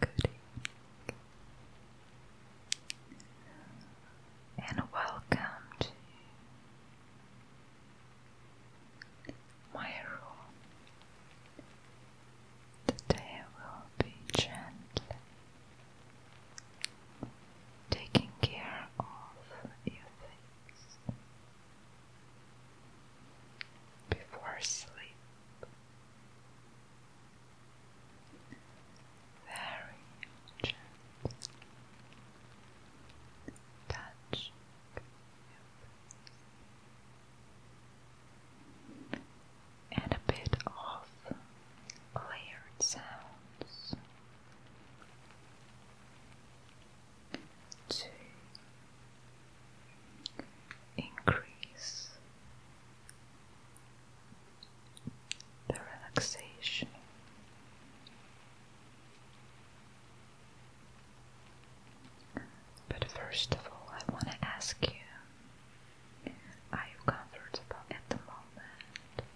Good evening, and welcome to my room. Today I will be gently taking care of your face before sleep very gentle touch and a bit of layered sounds to increase the relaxation. But first of all, I want to ask you are you comfortable at the moment?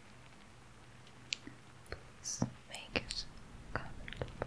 Please make it comfortable.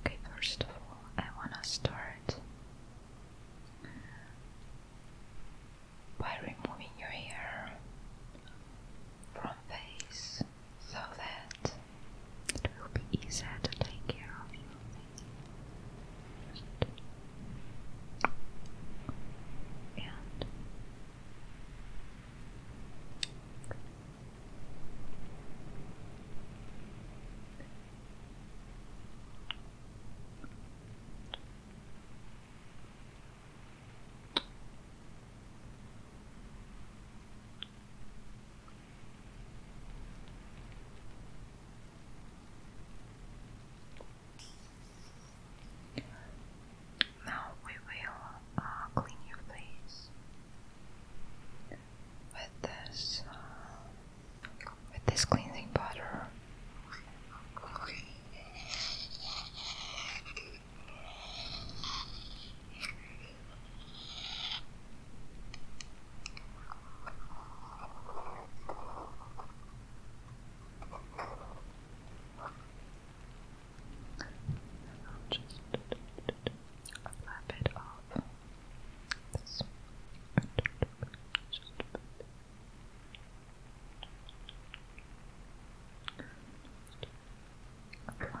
Okay, first of all, I want to start by removing your hair from face so that it will be easier to take care of you. Now we will uh, clean your face with this uh, with this cleansing butter a little bit of this. A little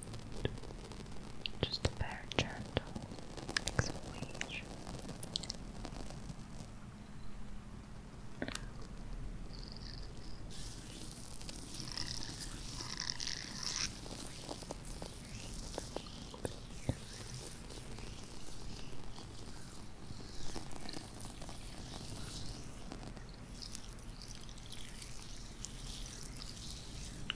Just a very gentle exfoliation.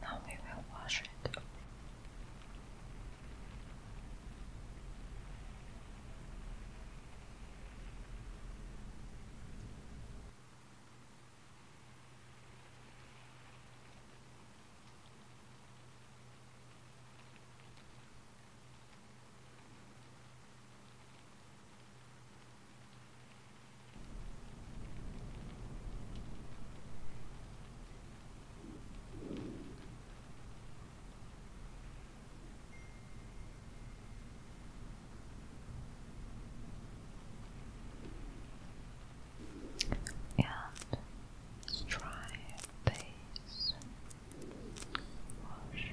Now we will wash it. And let's wash.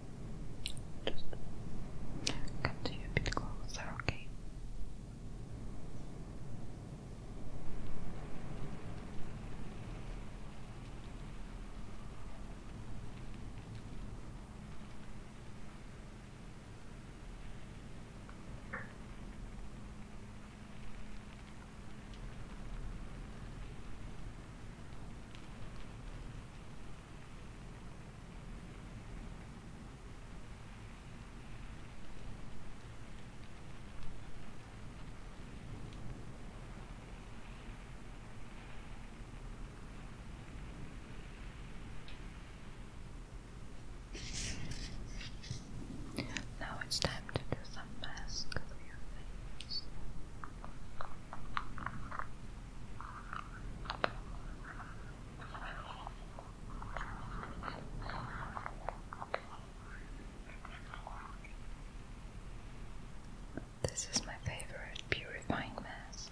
Just come to you a bit closer, okay? Now it's time to do some mask on this is my favorite purifying mask.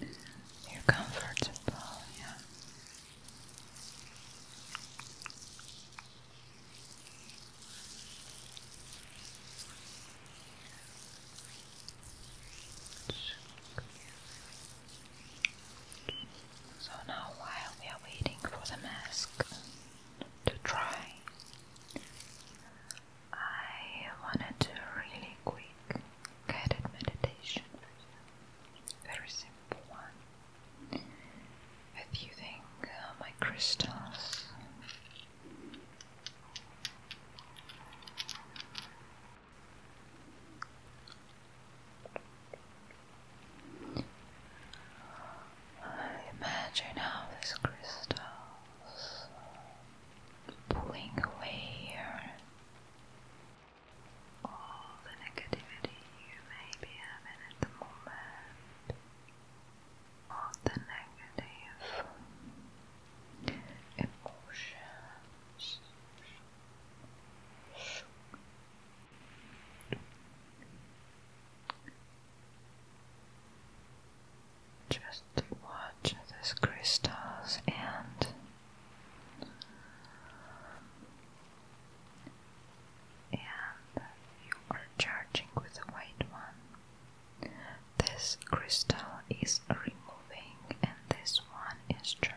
You're comfortable, yeah. So now, while we are waiting for the mask to dry, I wanted to really quick guided meditation very simple one with using uh, my crystals. Imagine how these crystals pulling away your all the negativity you may be having at the moment, all the negative emotions. Just watch these crystals and and you are charging with the white one. This crystal is removing, and this one is charging.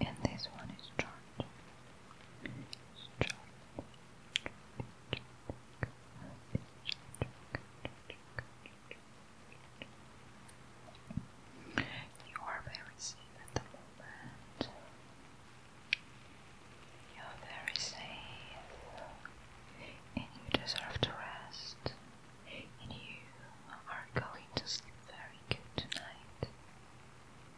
and this one is short. You are very safe at the moment. You are very safe, and you deserve to rest. And you are going to sleep very good tonight.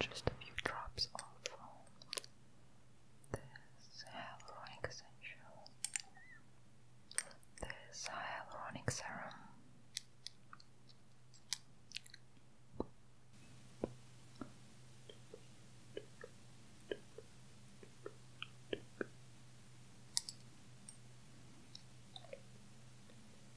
just a few drops of this hyaluronic essential, this hyaluronic serum.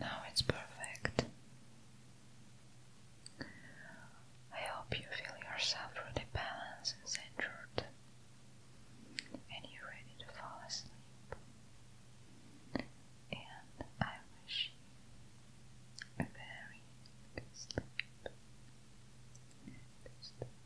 Now it's perfect. I hope you feel yourself really balanced and centered, and you're ready to fall asleep. And I wish you a very good sleep.